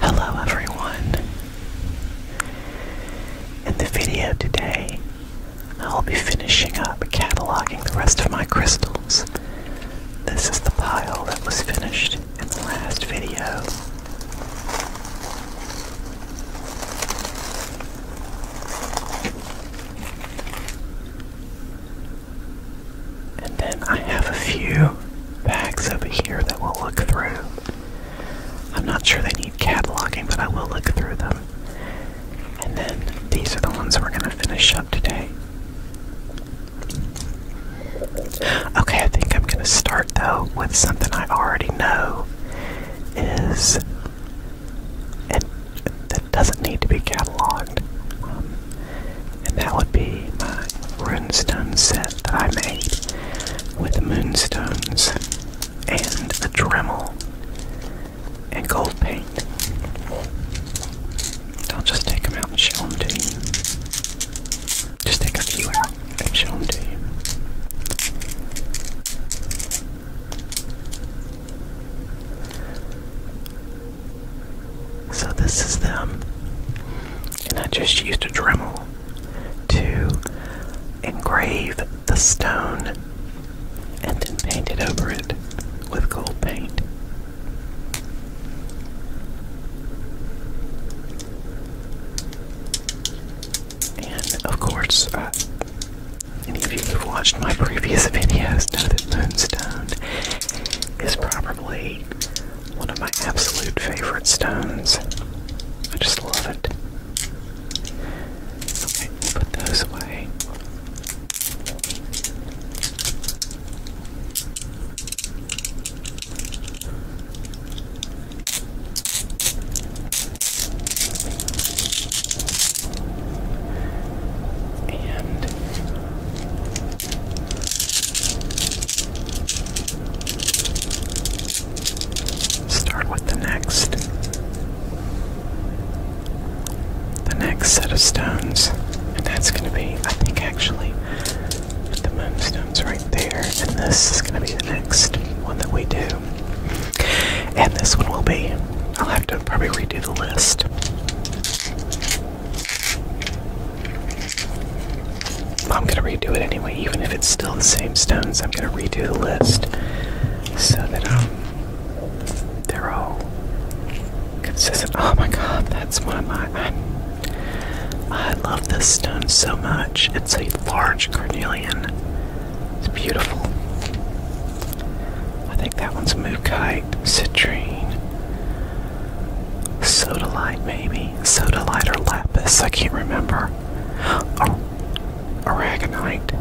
Hello everyone. In the video today, I'll be finishing up cataloging the rest of my crystals. This is the pile that was finished in the last video. And then I have a few bags over here that we'll look through. I'm not sure they need cataloging, but I will look through them. And then these are the ones we're going to finish up today. Okay, I think I'm going to start though with something I already know is that doesn't need to be cataloged. Um, and that would be my runestone set that I made with moonstones and a Dremel and gold paint. I'll just take them out and show them to you. Just take a few out and show them to you. So this is them. And I just used a Dremel to engrave the stone and then painted over it with gold paint. And of course, uh, any of you who've watched my previous videos know that moonstone is probably one of my absolute favorite stones. I just love it. Okay, put those away. And Start with the next. The next set of stones, and that's going to be, I think, actually, the moonstone's right there, and this is going to be the next one that we do. And this one will be, I'll have to probably redo the list. I'm gonna redo it anyway, even if it's still the same stones, I'm gonna redo the list so that um they're all consistent. Oh my god, that's one of my i love this stone so much. It's a large carnelian. It's beautiful. I think that one's Mukai Sprite, Citrine, Sodalite maybe, Sodalite or Lapis, I can't remember, or Aragonite,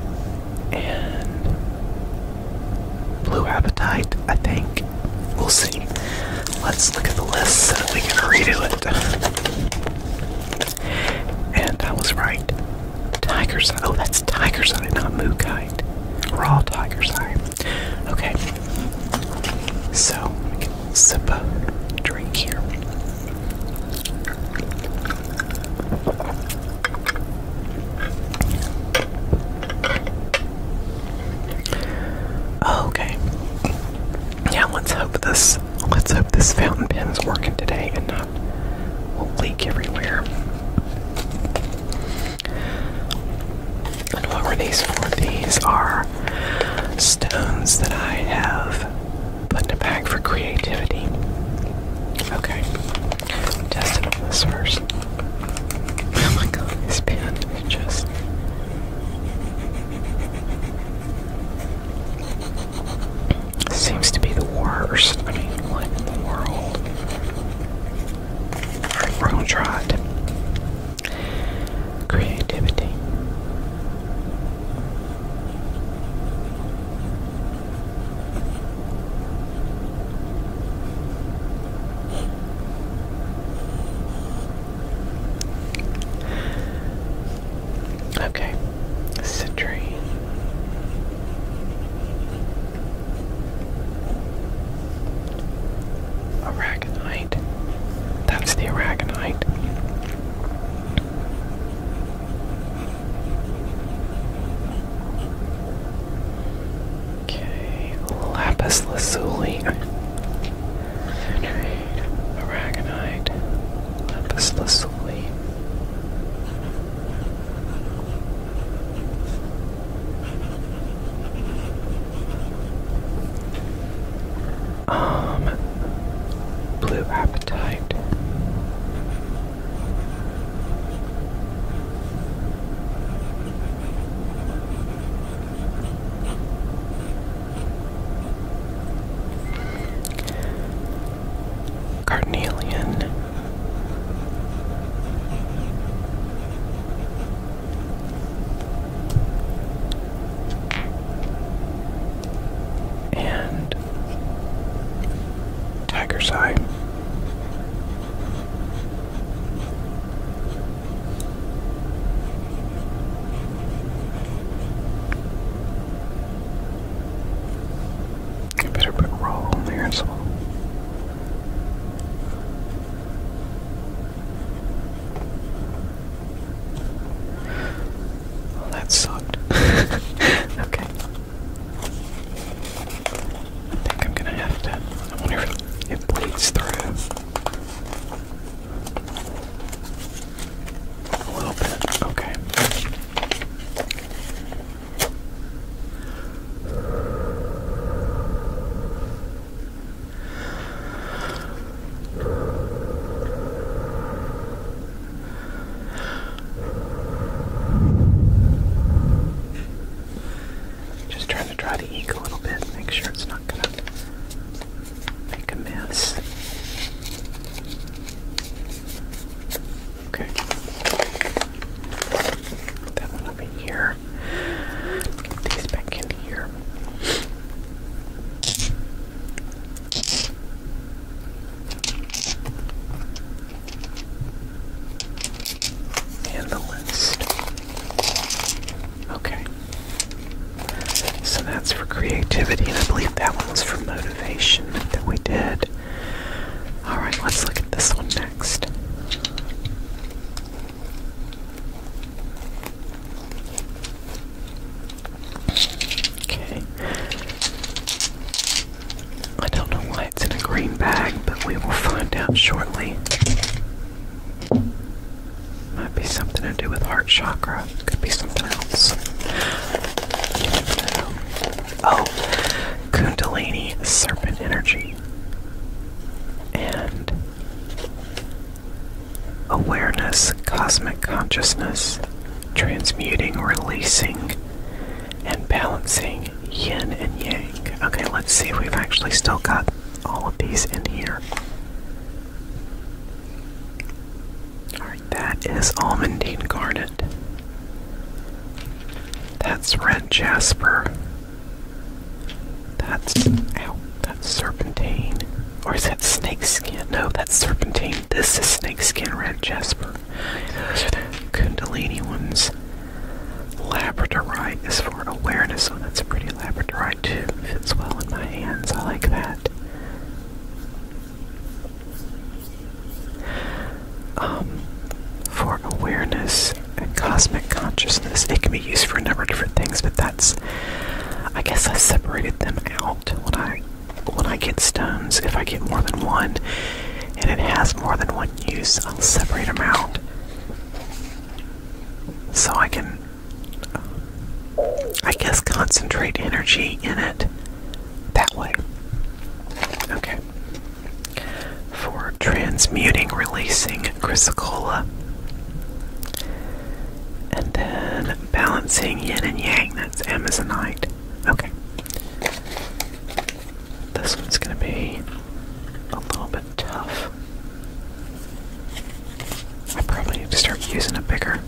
and Blue Appetite, I think. We'll see. Let's look at the list so that we can redo it. And I was right. Tiger's Eye. Oh, that's Tiger's Eye, not Mooko hide. Raw tiger's eye. Okay. So, we can sip a drink here. Okay. Yeah, let's hope this let's hope this fountain pen is working today and not leak everywhere. And what were these for? These are stones that I have put in a bag for creativity. Okay, I'm on this first. Oh my god, this pen just. Seems to be the worst. I mean, what in the world? We're gonna try it. Creativity. Okay, citrine. Aragonite. That's the Aragonite. Okay, lapis lazuli. Aragonite. Lapis lazuli. Um, Blue Appetite. Carnelian and tiger's eye. I better put roll on there as well. Well, oh, that sucked. okay. I think I'm gonna have to. I wonder if it bleeds through a little bit. Okay. Just trying to dry the ink a little bit, make sure it's not gonna make a mess. Okay. that one over here. Get these back in here. And the list. Okay. So that's for creativity, and I believe that one was for motivation that we did. Alright, let's look at this one now next. Okay. I don't know why it's in a green bag, but we will find out shortly. Might be something to do with heart chakra. Could be something else. Oh, Kundalini Serpent Energy. And Awareness, Cosmic Consciousness, Transmuting, Releasing, and Balancing Yin and Yang. Okay, let's see we've actually still got all of these in here. Alright, that is Almondine Garnet. That's red jasper. That's ow, that's serpentine. Or is that snake skin? No, that's serpentine. This is snake skin red jasper. Those are the Kundalini ones. Labradorite is for awareness. So oh, that's a pretty labradorite too. Fits well in my hands. I like that. Um, for awareness and cosmic consciousness. It can be used for a number of different things, but that's I guess I separated them out when I when I get stones. If I get more than one and it has more than one use, I'll separate them out so I can I guess concentrate energy in it that way. Okay for transmuting, releasing chrysocolla, and then balancing yin and yang. That's amazonite. Okay. This one's going to be a little bit tough. I probably need to start using a bigger,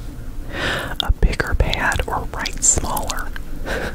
a bigger pad or write smaller.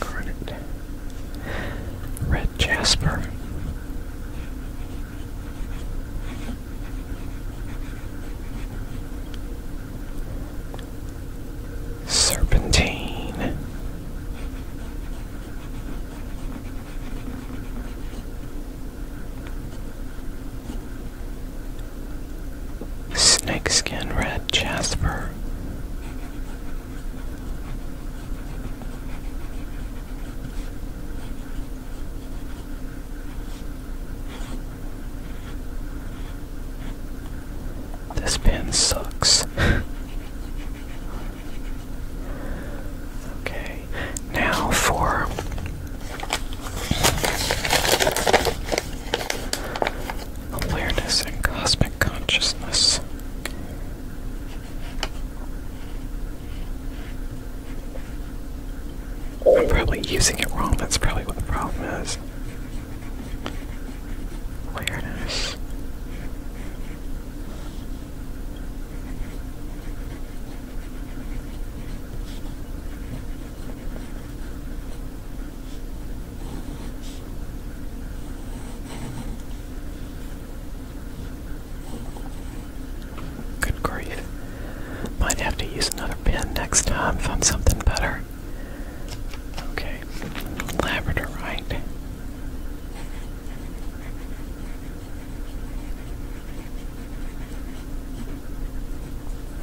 Credit. Red Jasper. Serpentine. Snakeskin Red Jasper. This pen sucks. okay, now for awareness and cosmic consciousness. I'm probably using it wrong, that's probably what the problem is. Awareness. Good grief. Might have to use another pen next time, find something better. Okay, Labrador, right?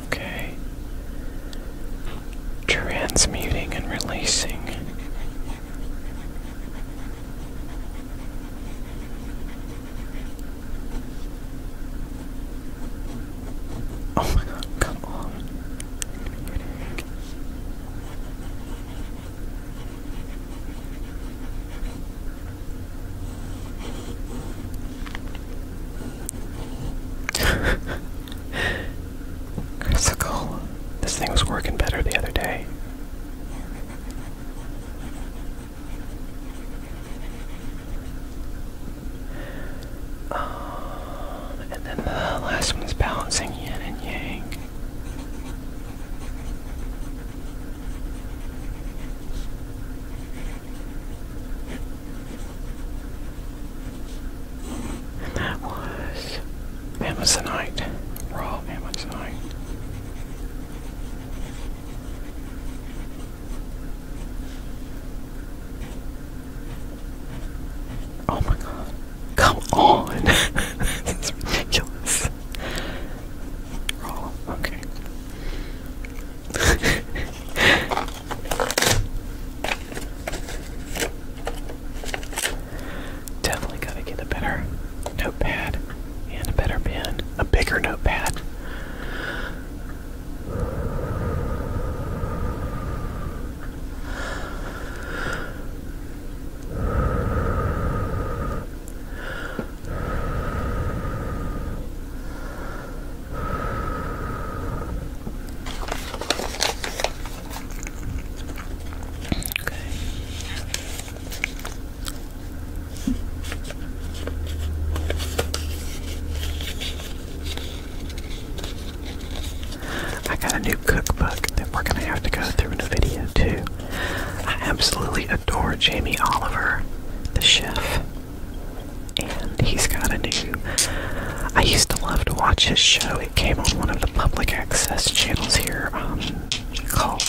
Okay transmuting and releasing. Oh my god, come on. Critical. This thing was working better the other day. Um, and then the last one's balancing yin and yang that was Amazonite, raw Amazonite. Oh my god. Come on! That's ridiculous. Raw, okay. Definitely gotta get a better notepad and a better pen, a bigger notepad. I got a new cookbook that we're gonna have to go through in a video too. I absolutely adore Jamie Oliver, the chef, and he's got a new I used to love to watch his show. It came on one of the public access channels here um, called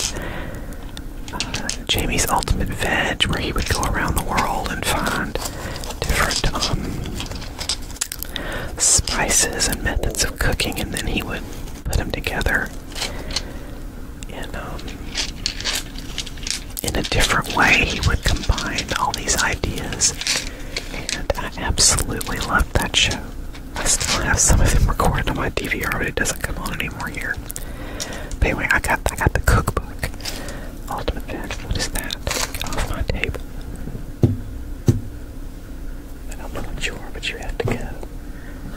uh, Jamie's Ultimate Veg, where he would go around the world and find different um, spices and methods of cooking, and then he would put them together um, in a different way. He would combine all these ideas. And I absolutely love that show. I still have some of them recorded on my DVR, but it doesn't come on anymore here. But anyway, I got I got the cookbook. Ultimate Veg. What is that? Get off my table. I don't know what you are, but you have to go.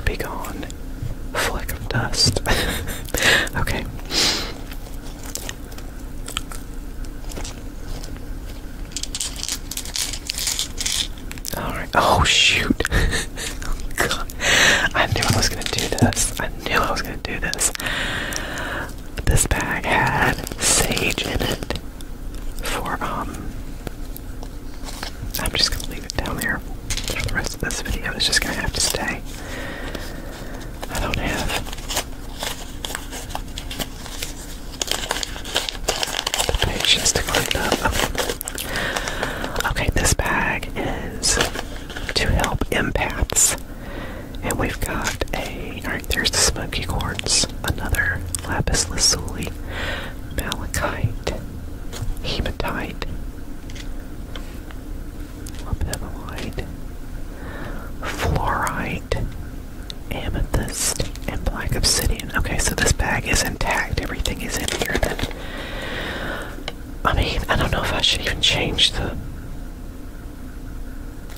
Be gone. Fleck of dust. okay. Alright. Oh, shoot. oh, God. I knew I was going to do this. I knew I was going to do this. This bag had sage in it for, um. I'm just going to leave it down there for the rest of this video. It's just going to have to stay. I don't have Okay, this bag is to help empaths. And we've got a. Alright, there's the smoky quartz, another lapis lazuli, malachite, hematite, lapidolite, fluorite, amethyst, and black obsidian. Okay, so this bag is intact. Everything is in here. I mean, I don't know if I should even change the.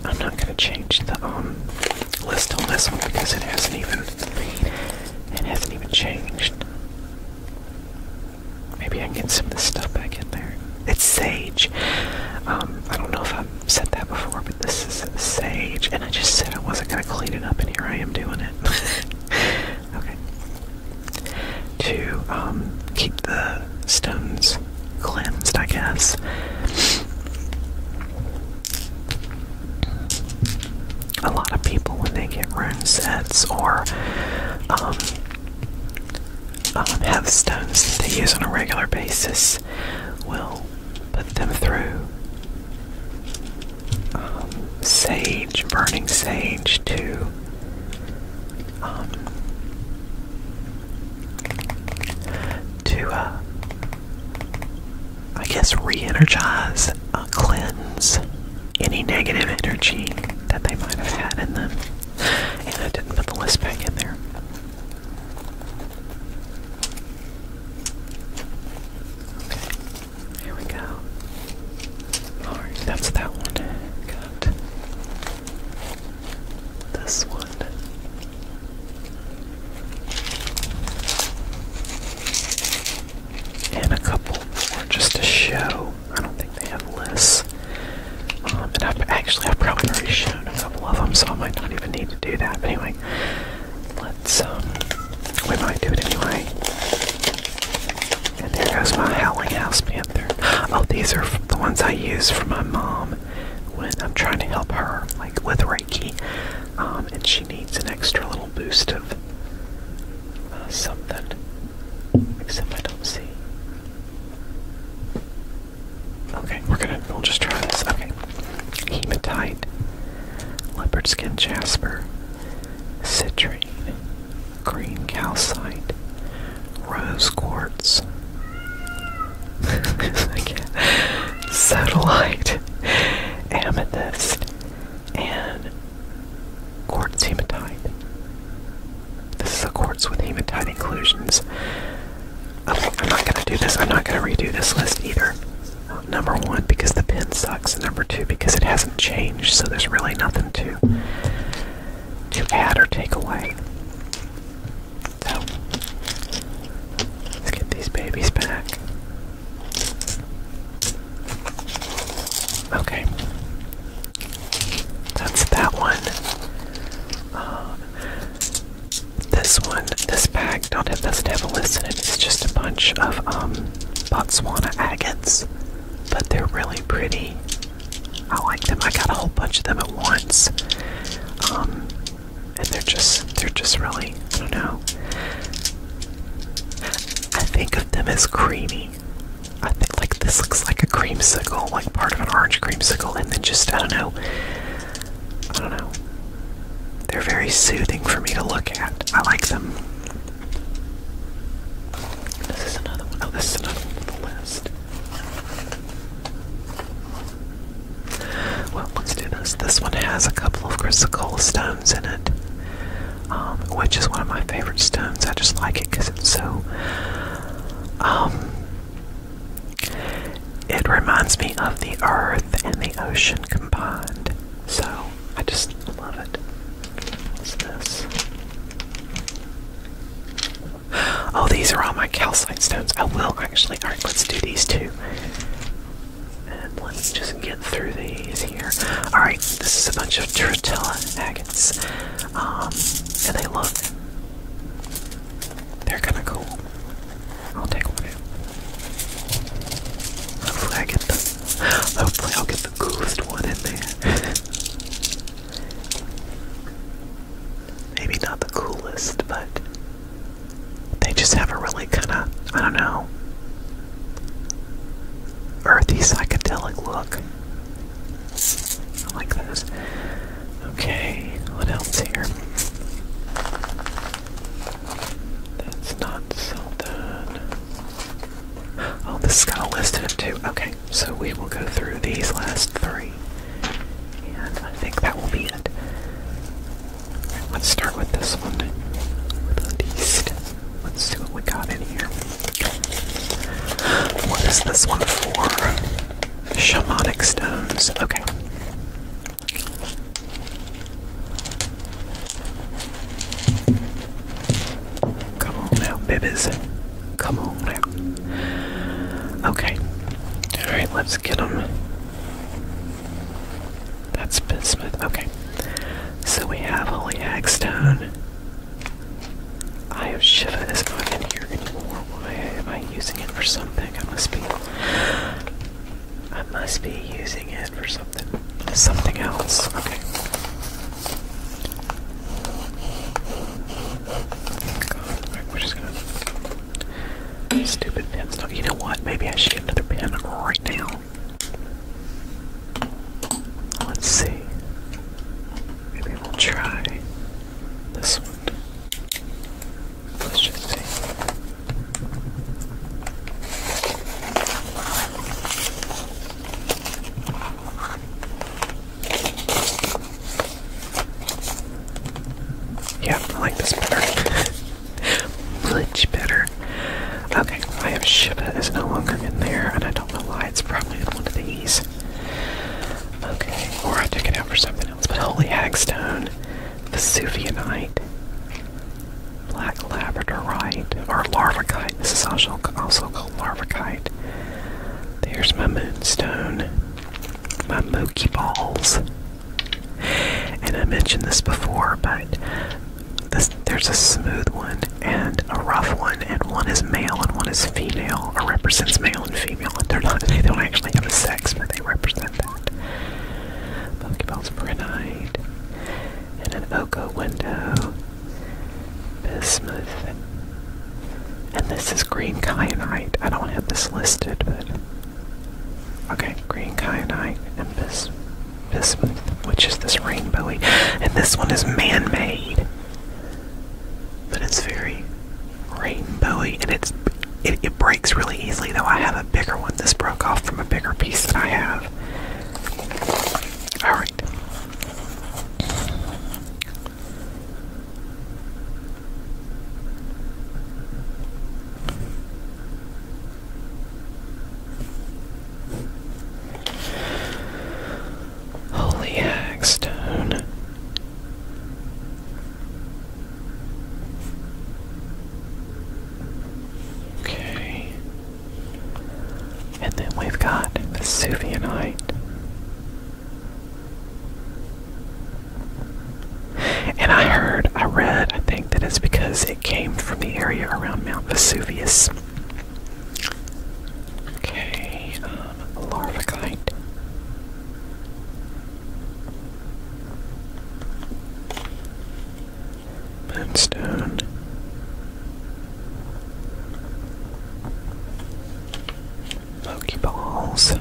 I'm not gonna change the um list on this one because it hasn't even it hasn't even changed. Maybe I can get some of this stuff back in there. It's sage. Um, I don't know if I'm said that before, but this is sage, and I just said I wasn't gonna clean it up, and here I am doing it. okay. To um, keep the stones cleansed, I guess. A lot of people, when they get room sets or um, um, have stones that they use on a regular basis, will put them through um, sage, burning sage to um, to uh, I guess re-energize, uh, cleanse any negative energy that they might have had in them. And I didn't put the list back in there. Okay, here we go. that's that one. Got this one. And a couple more just to show. I don't think they have lists. Um, and I've actually I've probably already shown a couple of them, so I might not even need to do that. But anyway, let's um, we might do it anyway. And there goes my howling house panther. Oh, these are the ones I use for my mom when I'm trying to help her, like with Reiki, um, and she needs an extra little boost of uh, something. Except I don't see Okay, we're gonna we'll just try this. Okay. Hematite, leopard skin jasper, citrine, green calcite, rose quartz, satellite, amethyst, and quartz hematite. This is a quartz with hematite inclusions. I'm, I'm not gonna do this. I'm not gonna redo this list either. Um, number one, because the pen sucks. Number two, because it hasn't changed, so there's really nothing to to add or take away. let's get these babies back. Okay, that's that one. Uh, this one, this pack, not it doesn't have a list in it, it's just a bunch of um Botswana agates. But they're really pretty. I like them. I got a whole bunch of them at once. Um and they're just they're just really I don't know. I think of them as creamy. I think like this looks like a creamsicle, like part of an orange creamsicle, and then just I don't know, I don't know. They're very soothing for me to look at. I like them. This is another one. Oh, this is another one on the list. Well, let's do this. This one has a couple of chrysocolla stones in it, um, which is one of my favorite stones. I just like it because it's so um, it reminds me of the earth and the ocean combined. So I just love it. What's this? Oh, these are all my calcite stones. I will actually. Alright, let's do these two. And let's just get through these here. Alright, this is a bunch of Tritella agates. Um, and they look they're kinda cool. I'll take one in. Hopefully I get the hopefully I'll get the coolest one in there. Maybe not the coolest, but they just have a really kinda I don't know earthy psychedelic look. I like those. Okay, what else here? That's not Seldon. Oh, this is got a list of them too. Okay, so we will go through these last three. And I think that will be it. Let's start with this one. Let's see what we got in here. What is this one for? Shamanic stones. Okay. Come on now, babies. Come on now. Okay. Alright, let's get them. That's bismuth. Okay. So we have holy hagstone. I Eye Shiva is not in here anymore. Why am I using it for something? I must be. I must be using it for something. Something else. Okay. God, we just gonna. Stupid pins. you know what? Maybe I should get another pin right now. Let's see. Maybe we'll try this Let's just see. Yeah, I like this better. Much better. Okay, I have Shiba is no longer in there, and I don't know why. It's probably in one of these. Okay, or I took it out for something else. But holy hagstone, Vesuvianite, black labradorite, or larvakite. This is also also called larvakite. There's my moonstone, my mookie balls, and I mentioned this before, but. there's a smooth one and a rough one, and one is male and one is female, or represents male and female, they're not, they don't actually have a sex, but they represent that. Pokeballs for a night, and an Oko window, bismuth, and this is green kyanite. I don't have this listed, but okay, green kyanite and bismuth, which is this rainbowy, and this one is man-made but it's very rainbowy and it's it, breaks really easily though I have a bigger one this broke off from a bigger piece that I have all right Holy Hagstone. Okay. And then we've got Vesuvianite. And I heard, I read, I think that it's because it came from the area around Mount Vesuvius. Okay, um, Moonstone. Pokeballs.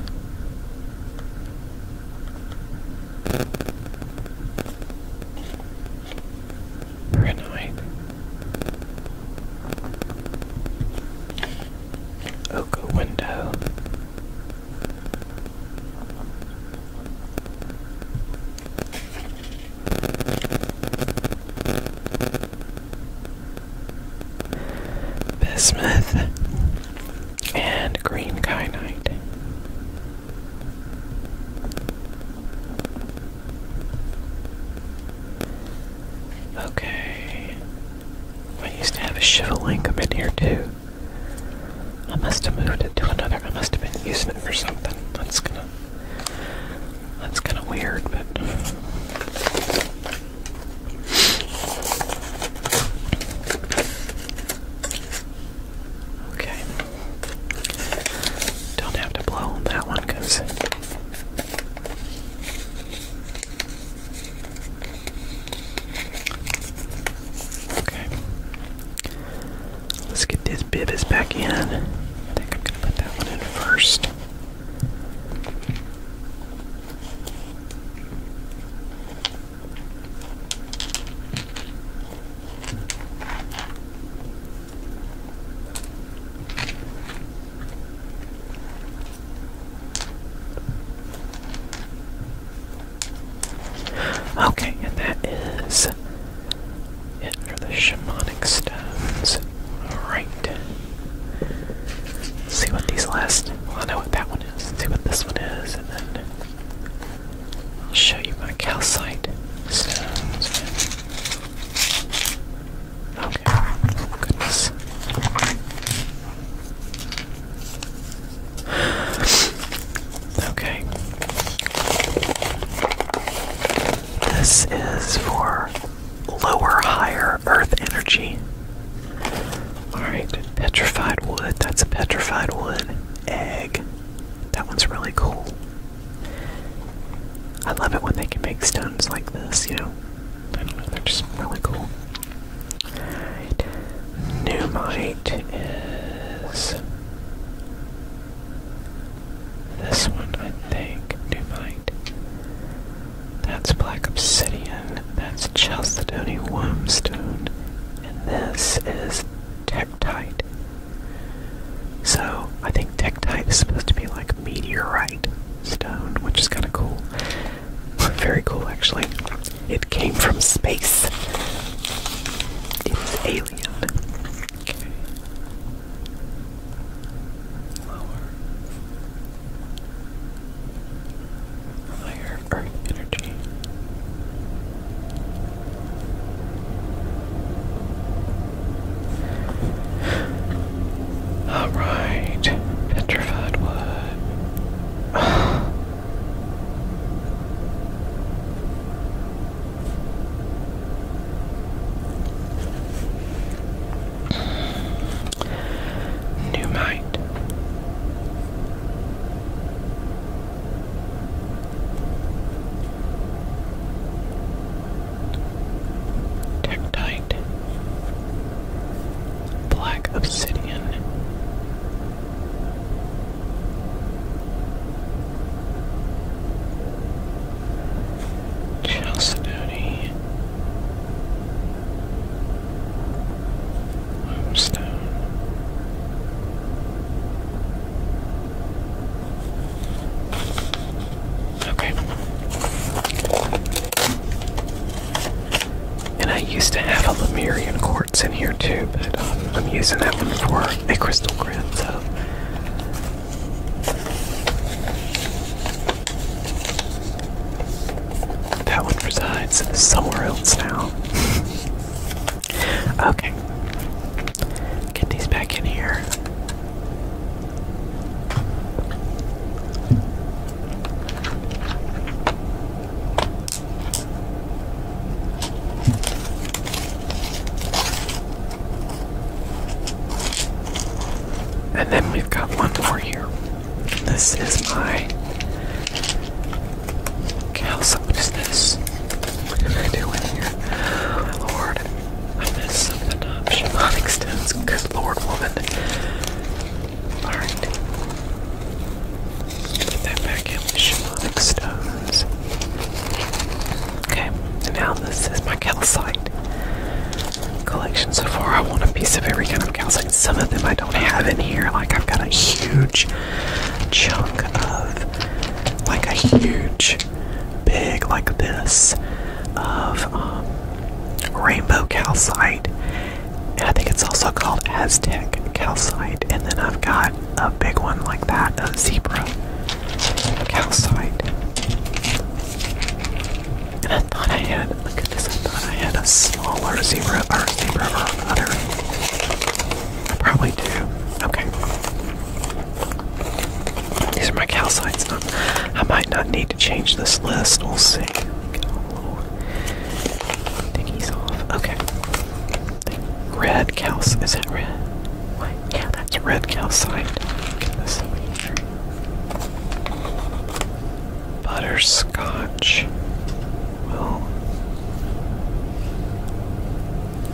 Renite. Oka window. Bismuth and green kyanite. Okay, I used to have a Chivalry come in here too. I must have moved it to another. I must have been using it for something. That's gonna. That's kind of weird, but. Okay. Don't have to blow on that one because Okay. Let's get this Bibis back in. I think I'm gonna put that one in first. Okay, and that is it the shamanic stones. Alright. See what these last. Well, I know what that one is. See what this one is, and then I'll show you my calcite stones. Okay. goodness. Okay. This is for lower, higher earth energy. Alright, petrified wood. That's a petrified wood. Egg. That one's really cool. I love it when they can make stones like this, you know they're just really cool. Alright. Numite is this one, I think. Numite. That's black obsidian. That's chalcedony wormstone. And this is tektite. So I think think is supposed to be like meteorite stone, which is kind of cool. Very cool, actually. It came from space. It was alien. Alright, petrified wood. New might. Tectite. Black obsidian. Chalcedony. Limestone. Okay. And I used to have a Lemurian quartz in here too, but um, I'm using that one for a crystal grid, so. That one resides somewhere else now. okay. Get these back in here. And then we've got one more here. This is my What is this? What am I doing here? lord. I missed some of the Shamanic stones. Good lord, woman. Alright. Get that back in the shamanic stones. Okay, and now this is my calcite collection so far. I want a piece of every kind of calcite. Some of them I don't have in here. Like I've got a huge chunk of like a huge big like this of um, rainbow calcite. And I think it's also called Aztec calcite. And then I've got a big one like that, a zebra calcite. And I thought I had, look at this, I thought I had a smaller zebra or zebra or probably do. Okay. These are my calcites. I might not need to change this list. We'll see. Oh, Diggy's off. Okay. Red calcite. Is that red? Wait, yeah, that's red calcite. Get this here. Butterscotch. Well,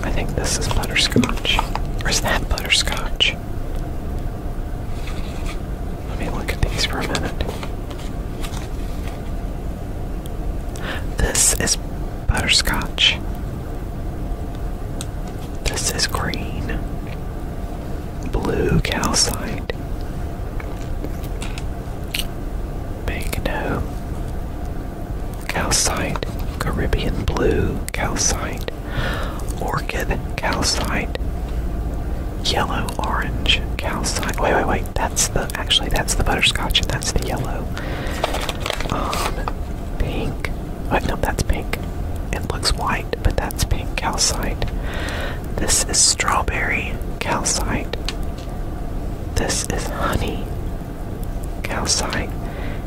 I think this is butterscotch. Or is that butterscotch? Let me look at these for a minute. This is butterscotch. This is green. Blue calcite. Magno. Calcite. Caribbean blue. Calcite, Orchid Calcite, Yellow Orange Calcite. Wait, wait, wait. That's the actually that's the butterscotch and that's the yellow. Um, pink. Wait, oh, no, that's pink. It looks white, but that's pink calcite. This is strawberry calcite. This is honey calcite.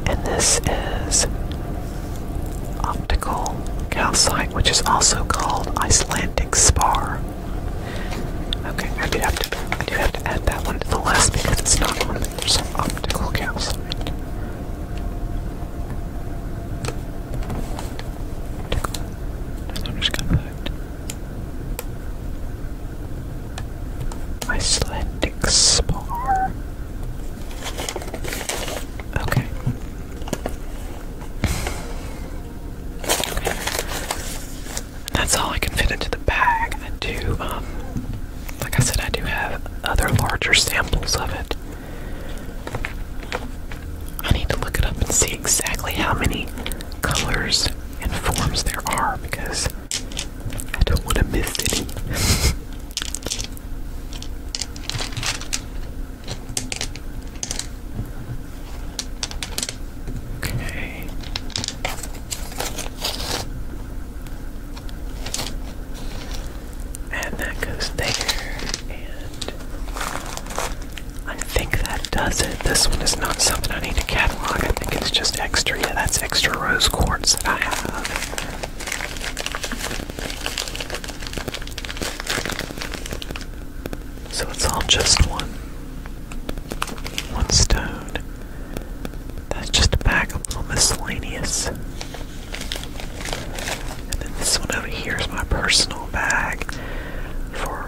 And this is optical calcite, which is also called Icelandic spar. Okay, I do have to add that one to the list because it's not on there. There's optical calcite. I'm just gonna put Icelandic spar. Okay. That's all I can fit into the bag. I do, um, like I said, I do have other larger samples of it. I need to look it up and see exactly how many colors and forms there are because I don't want to miss any. Okay. And that goes there. And I think that does it. This one is not something I need to catalog. I think it's just extra. Yeah, that's extra rose quartz that I have. So it's all just one one stone. That's just a bag of little miscellaneous. And then this one over here is my personal bag for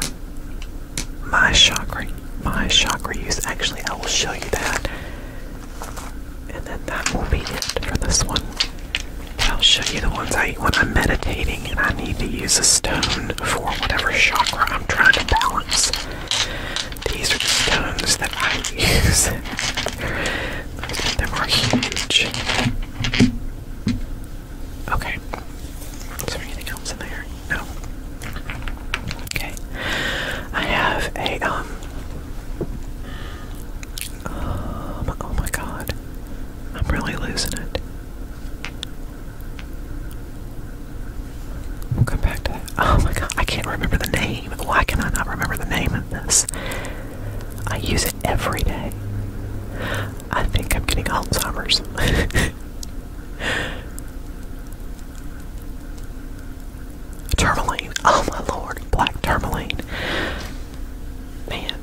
my chakra my chakra use. Actually I will show you that and then that will be it for this one. I'll show you the ones I use when I'm meditating and I need to use a stone for whatever chakra I'm trying to balance. These are the stones that I use. Most are huge. Okay. Is there anything else in there? No. Okay. I have a um um, oh my god. I'm really losing it. We'll come back to that. Oh my god, I can't remember the name. Why can I not remember the name of this? I use it every day. I think I'm getting Alzheimer's. Turmaline, Oh my lord. Black turmaline, Man.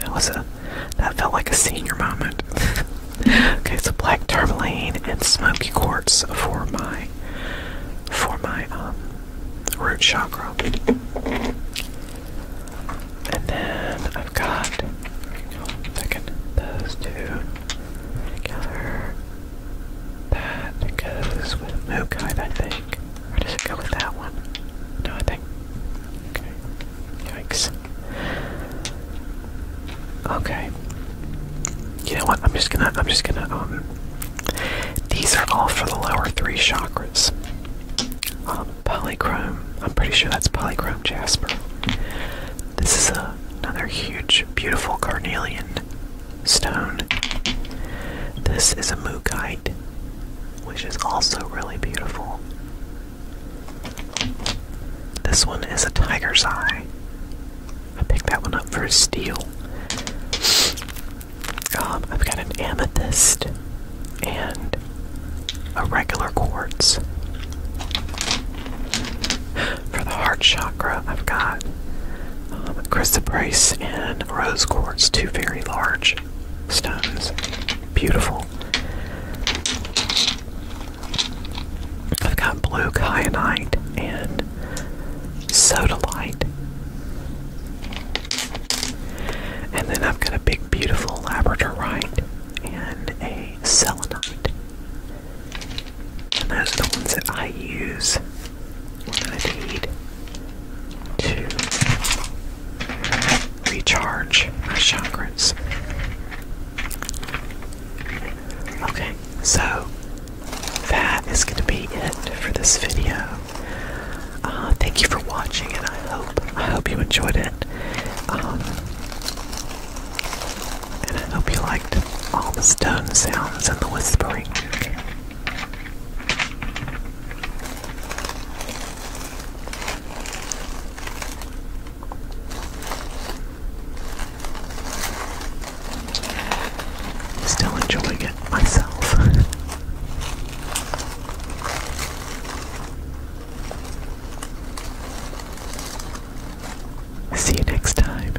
That was a that felt like a senior moment. okay, so black turmaline and smoky quartz for my for my um, root chakra. And then I've got second those two together. That goes with Mookite, I think. Or does it go with that one? No, I think. Okay. Yikes. Okay. You know what? I'm just gonna. I'm just gonna. Um. These are all for the lower three chakras. Um, polychrome. I'm pretty sure that's polychrome jasper. This is a, another huge, beautiful carnelian stone. This is a mookite, which is also really beautiful. This one is a tiger's eye. I picked that one up for a steal. Um, I've got an amethyst and a regular quartz. For the heart chakra, I've got um, chrysoprase and rose quartz, two very large stones. Beautiful. I've got blue kyanite and sodalite. And then I've got a big, beautiful labradorite and a selenite. And those are the ones that I use when I need to recharge my chakras. Okay, so that is going to be it for this video. Uh, thank you for watching, and I hope I hope you enjoyed it, um, and I hope you liked all the stone sounds and the whispering. Still enjoying it myself. See you next time.